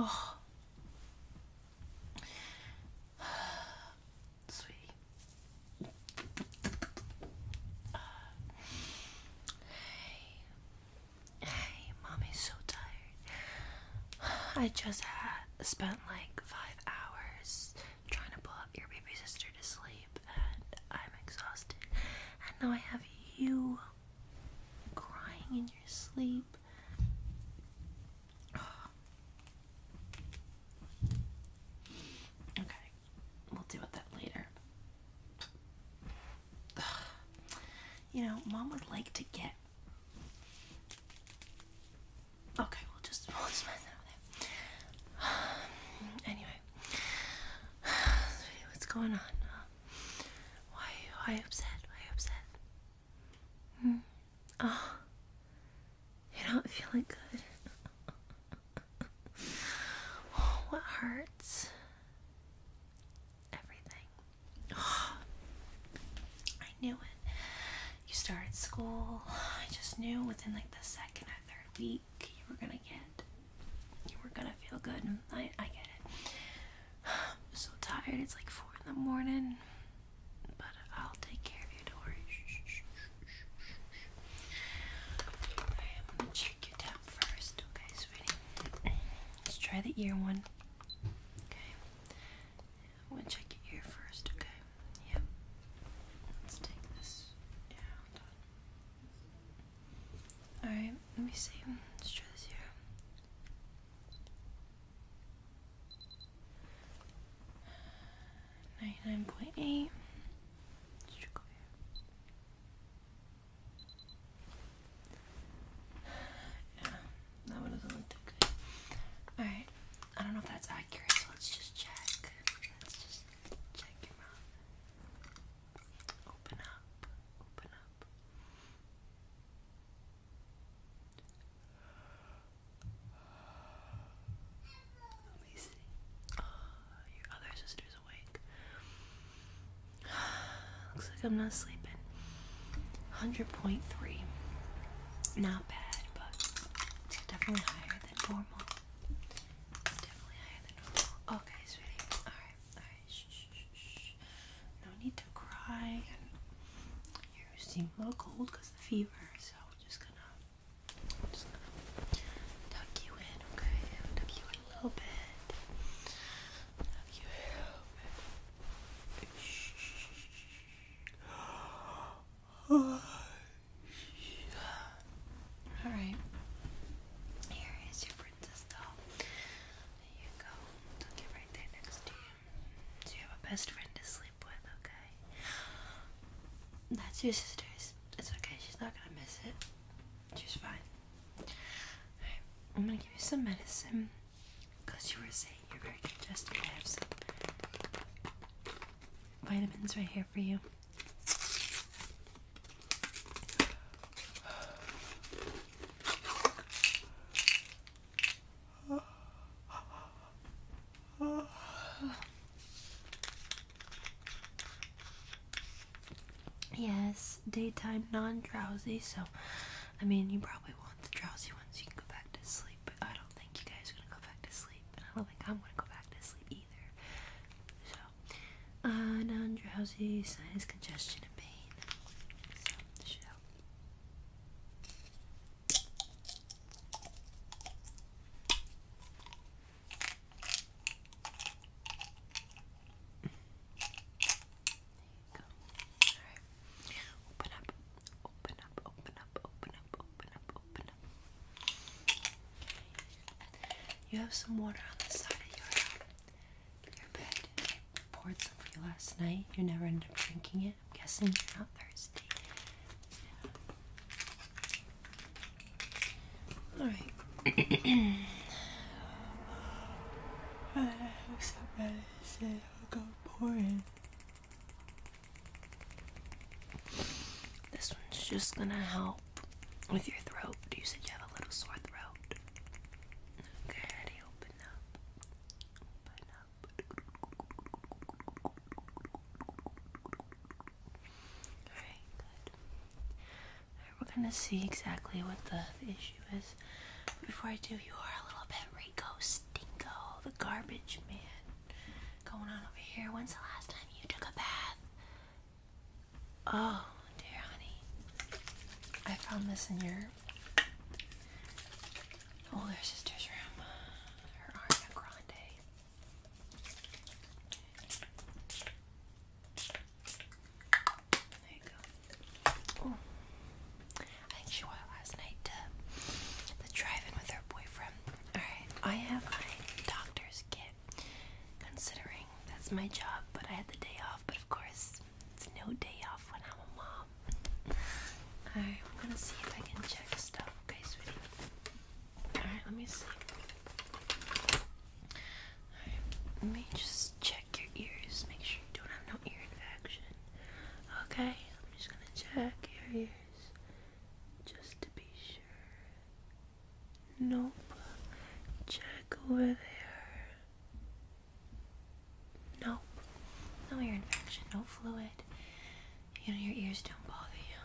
Oh. Sweetie. Hey. Hey, mommy's so tired. I just spent like five hours trying to pull up your baby sister to sleep, and I'm exhausted. And now I have you crying in your sleep. Okay, we'll deal with that later. You know, mom would like to get Okay, we'll just we'll just mess over there. Um, anyway, what's going on? why why upset? Why upset? Hmm? Oh, you're not feeling good. what hurts? Everything. I knew it. You started school. I just knew within like the second or third week you were gonna get, you were gonna feel good. I, I get it. I'm so tired. It's like four in the morning. But I'll take care of you, don't worry. I'm gonna check your temp first, okay, sweetie? Let's try the ear one. Okay. I'm to check your ear first, okay? Yep. Let's take this. Yeah, hold on. Alright, let me see. Let's try this here. Ninety-nine point eight. Let's check over here. Yeah, that one doesn't look too good. Alright, I don't know if that's accurate, let's just check. Let's just check your mouth. Open up, open up. Let me see. Oh, your other sister's awake. Looks like I'm not sleeping. 100.3. Not bad, but it's definitely higher than normal. It's definitely higher than normal. Okay, sweetie. Alright, alright. Shh, shh, shh, shh. No need to cry. You seem a little cold because of the fever, so we're just gonna. just gonna tuck you in, okay? Tuck you in a little bit. You All right. Here is your princess doll. There you go. Don't right there next to you. So you have a best friend to sleep with, okay? That's your sister's. It's okay. She's not gonna miss it. She's fine. i right. I'm gonna give you some medicine. Because you were saying you're very congested, I have some vitamins right here for you. Yes, daytime non drowsy, so I mean, you probably won't the drowsy ones, you can go back to sleep. But I don't think you guys are gonna go back to sleep, and I don't think I'm gonna go back to sleep either. So, uh, non drowsy, sinus congestion, and pain. So, this should you Open up. Open up. Open up. Open up. Open up. Open up. You have some water on the side of your your bed. I poured some for you last night. You never end up drinking it. I'm guessing you're not thirsty. Alright. I am so bad this one's just gonna help with your throat. You said you have a little sore throat. Okay, open up. Open up. Alright, good. We're gonna see exactly what the, issue is. Before I do, you are a little bit Rico Stinko, the garbage man. Going on over here. When's the last time you took a bath? Oh, dear honey. I found this in your older sister's room. Her Ariana Grande. I think she went last night to the drive-in with her boyfriend. Alright, I have my doctor's kit. Considering that's my job, but I had the day off, but of course it's no day off when I'm a mom. Alright, I'm gonna see if I can check stuff. Okay, sweetie. Alright, let me see. Alright, let me just check your ears. Make sure you don't have no ear infection. Okay, I'm just gonna check your ears just to be sure. Nope. Check over there. Nope. No ear infection, no fluid. You know, your ears don't bother you.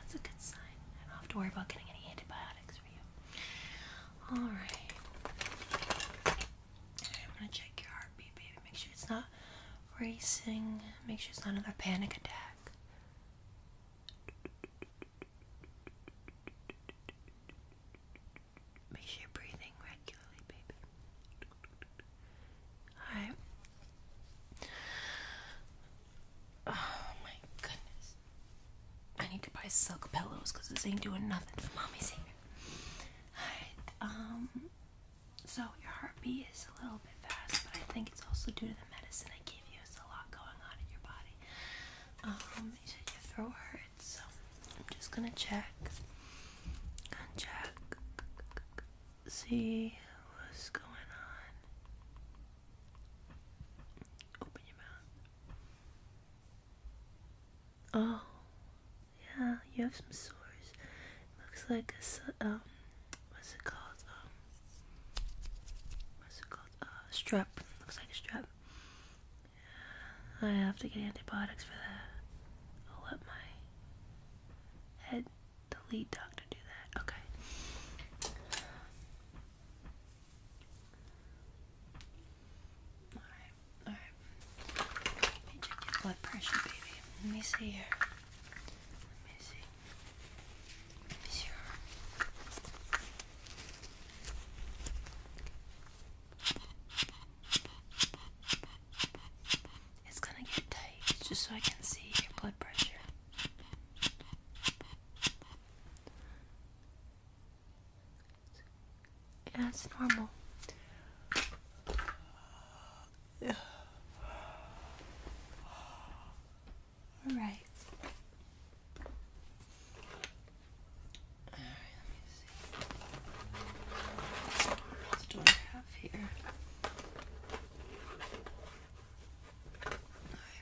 that's a good sign. I don't have to worry about getting any antibiotics. Alright. I'm gonna check your heartbeat, baby. Make sure it's not racing. Make sure it's not another panic attack. Make sure you're breathing regularly, baby. Alright. Oh my goodness. I need to buy silk pillows because this ain't doing nothing for mommy's hair. Alright, um, so your heartbeat is a little bit fast, but I think it's also due to the medicine I gave you. It's a lot going on in your body. Um, you your throat hurts, so I'm just gonna check check, see what's going on. Open your mouth. Oh, yeah, you have some sores. Looks like a, um, what's it called? Um, what's it called? Uh, strep. Looks like a strep. I have to get antibiotics for that. I'll let my head, the lead doctor, do that. Okay. Alright, alright. Let me check your blood pressure, baby. Let me see here. Let me see. Let It's gonna get tight just so I can see your blood pressure. That's normal. All right. All right, let me see. What do I have here?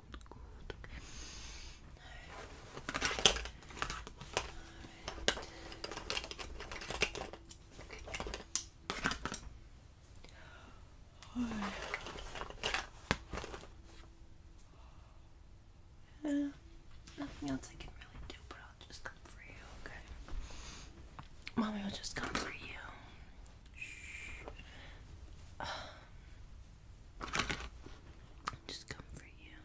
good, Nothing else I can really do, but I'll just come for you, okay? Mommy will just come for you. Just come for you.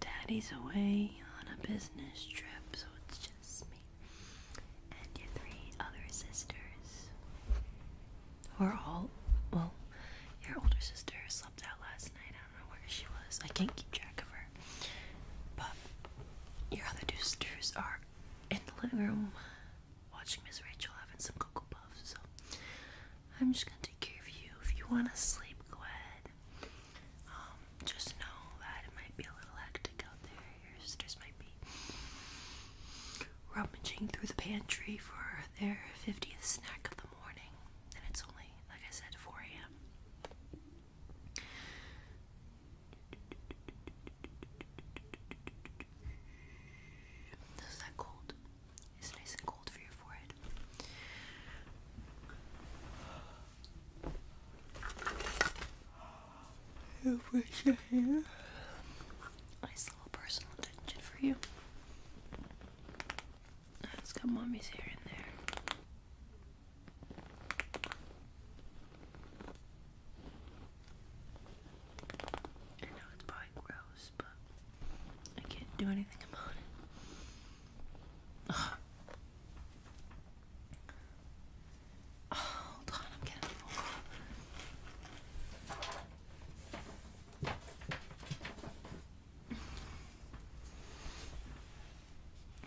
Daddy's away on a business trip, so it's just me and your three other sisters. we are all, well, your older sister slept out last night. I don't know where she was. I can't keep track of her. But your other two sisters are in the living room watching Miss Rachel having some Cocoa Puffs, so I'm just gonna take care of you. If you wanna sleep, go ahead. Um, just know that it might be a little hectic out there. Your sisters might be rummaging through the pantry for their 50th snack of the morning, and it's only, like I said, 4 a.m. Is that cold? It's nice and cold for your forehead. I'll brush Nice little personal attention for you. Let's got mommy's hair in there. And now it's probably gross. I can't do anything about it. Oh,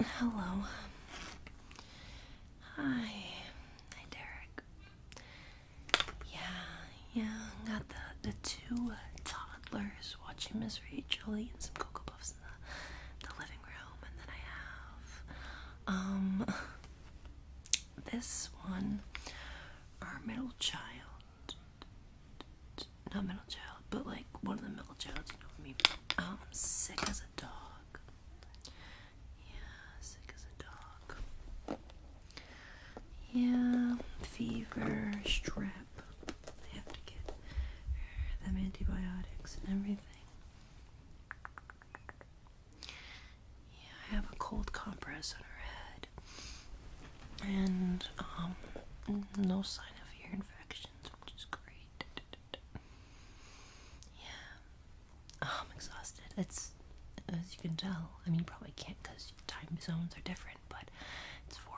Hello. Hi. Hi, Derek. Yeah, yeah, got the the two uh, toddlers watching Miss Rachel and some cocoa puffs in the the living room, and then I have um this one, our middle child, not middle child, but like one of the middle child, you know what I mean? Um, sick as a dog. Yeah, sick as a dog. Yeah, fever, strep. I have to get them antibiotics and everything. Yeah, I have a cold compress on her head. And, um, no sign of ear infections, which is great. Yeah. Oh, I'm exhausted. It's as you can tell. I mean, you probably can't because time zones are different, but it's 4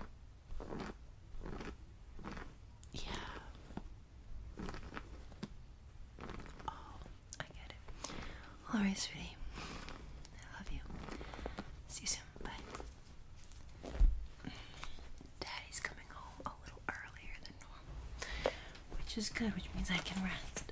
a.m. here. Yeah. Oh, I get it. All right, sweetie. I love you. See you soon. Bye. Daddy's coming home a little earlier which is good, which means I can rest.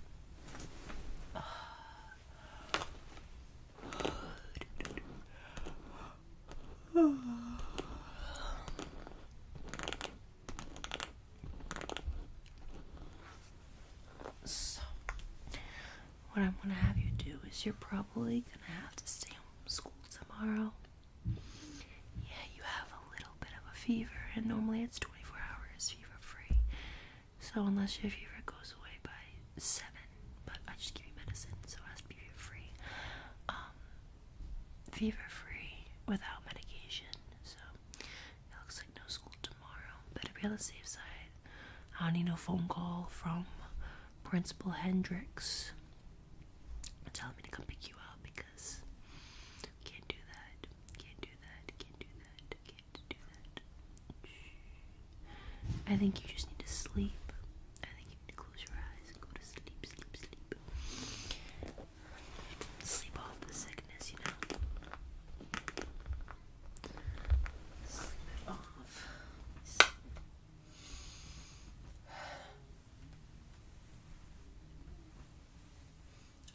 So, what I'm gonna have you do is you're probably gonna have to stay home from school tomorrow. Yeah, you have a bit of a fever, and normally it's 24 hours fever free. So, unless your fever goes away by 7, but I just give you medicine, so it has to be fever free. Um, fever free without medication, so it looks like no school tomorrow. Better be on the safe side. I don't need no phone call from Principal Hendricks telling me to come pick you up because can't do that, can't do that, can't do that, can't do that. I think you just need to sleep. I think you need to close your eyes and go to sleep, sleep, sleep. Sleep off the sickness, you know. Sleep it off.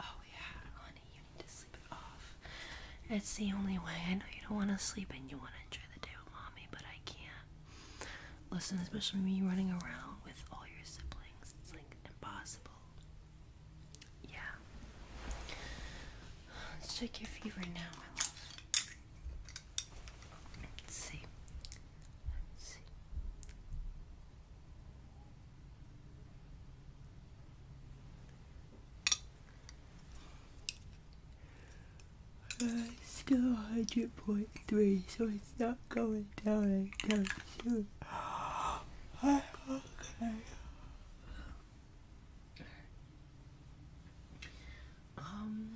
Oh, yeah, honey, you need to sleep it off. It's the only way. I know you don't want to sleep and you want to enjoy the day with mommy, but I can't. Listen, especially me running around with all your siblings, it's like impossible. Yeah. Let's check your fever now, Let's see. Let's see. I still 100.3, so it's not going down anytime soon. okay. Um.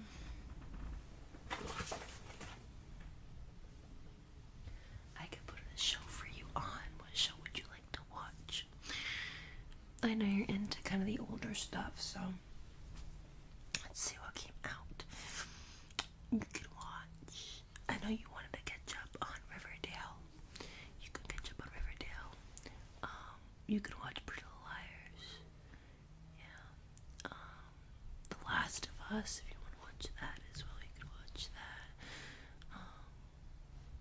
I could put a show for you on. What show would you like to watch? I know you're into kind of the older stuff, so let's see what came out. You could watch. I know you wanted to catch up on Riverdale. You could catch up on Riverdale. Um, you could watch Pretty Little Liars. Yeah. Um, the Last of Us, if you want to watch that as well, you can watch that. Um,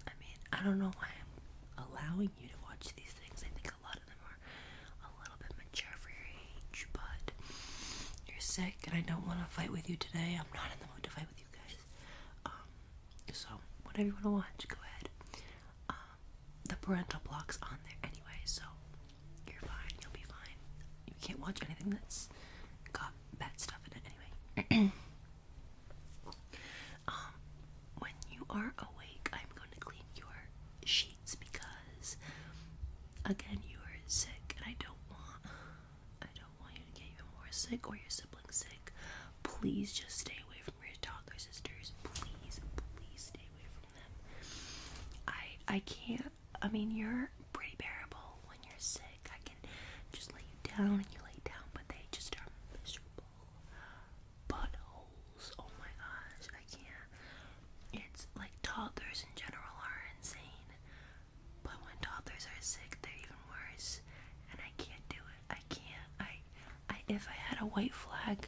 I mean, I don't know why I'm allowing you to watch these things. I think a lot of them are a little bit mature for your age, but you're sick and I don't want to fight with you today. I'm not in the mood to fight with you guys. Um, so, whatever you want to watch, go ahead. Um, the parental block's on there anyway, so you're fine. You'll be fine. You can't watch anything that's got bad stuff in it anyway. um, when you are awake, I'm going to clean your sheets because, again, you are sick, and I don't want, I don't want you to get even more sick or your siblings sick. Please just stay away from your toddler sisters. Please, please stay away from them. I I can't I mean, you're pretty bearable when you're sick. I can just lay you down and you lay down, but they just are miserable buttholes. Oh my gosh, I can't. It's like toddlers in general are insane, but when toddlers are sick, they're even worse. And I can't do it. I can't. I, I if I had a white flag,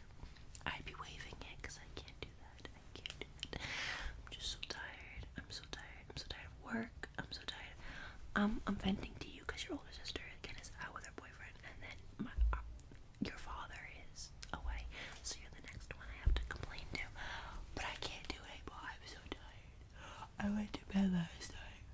I'd be waving it because I can't do that. I am just so tired. I'm so tired. I'm so tired of work. I'm so tired. Um, I'm venting to you because your older sister is out with her boyfriend, and then uh, your father is away, so you're the next one I have to complain to. But I can't do it anymore. I'm so tired. I went to bed last night.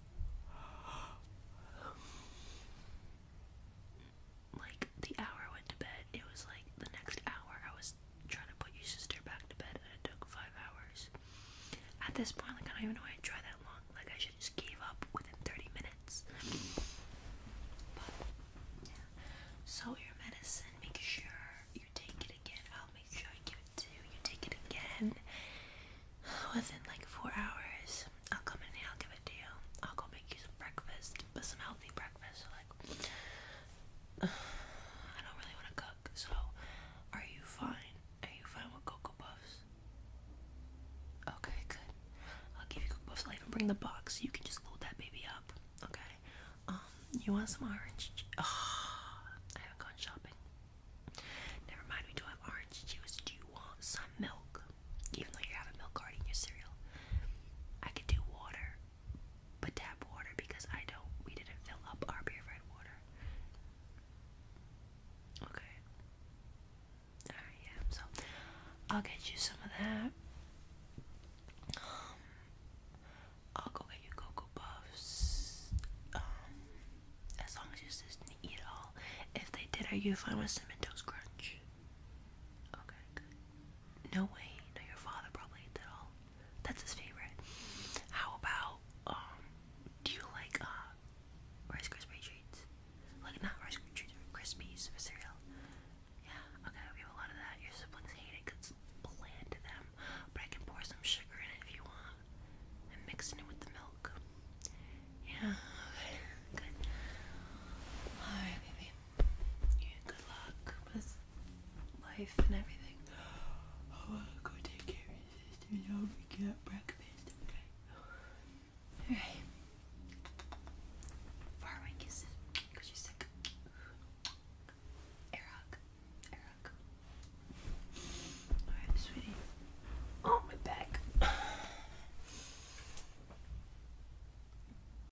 Like the hour I went to bed, it was like the next hour I was was trying to put your sister back to bed and it took five hours. At this point, like, I don't even know why I tried that long. Like, I should just give up within 30 minutes. So, your medicine, make sure you take it again. I'll make sure I give it to you. take it again within like four hours. I'll come in and I'll give it to you. I'll go make you some breakfast, but some healthy breakfast. So, like, I don't really want to cook, so are you fine? Are you fine with Cocoa Puffs? Okay, good. I'll give you Cocoa Puffs. I'll even bring the box. so You can just load that baby up. Okay. Um, you want some orange? Oh, I haven't gone shopping. Never mind, we do have orange juice. Do you want some milk? Even though you're having milk already in your cereal. I could do water but tap water because I don't we didn't fill up our purified water. Okay. Alright, yeah, so I'll get you some of that. Um, I'll go get you cocoa puffs. Um as long as you just eat all. If they did, are you fine with cinnamon toast crunch? Okay, no way. No, your father probably ate that all. That's his favorite. How about, um, do you like, uh, Rice Krispie treats? Like, not Rice Krispie treats, Krispies for cereal. Yeah, okay, we have a lot of that. Your siblings hate it because it's bland to them. But I can pour some sugar in it if you want. And mix it with the milk. Yeah, okay, good. Alright, baby good luck with life and everything. Oh, I want go take care of your sister and I'll get breakfast, Alright. Far away because you're sick. Air hug. Alright, sweetie. Oh, my back.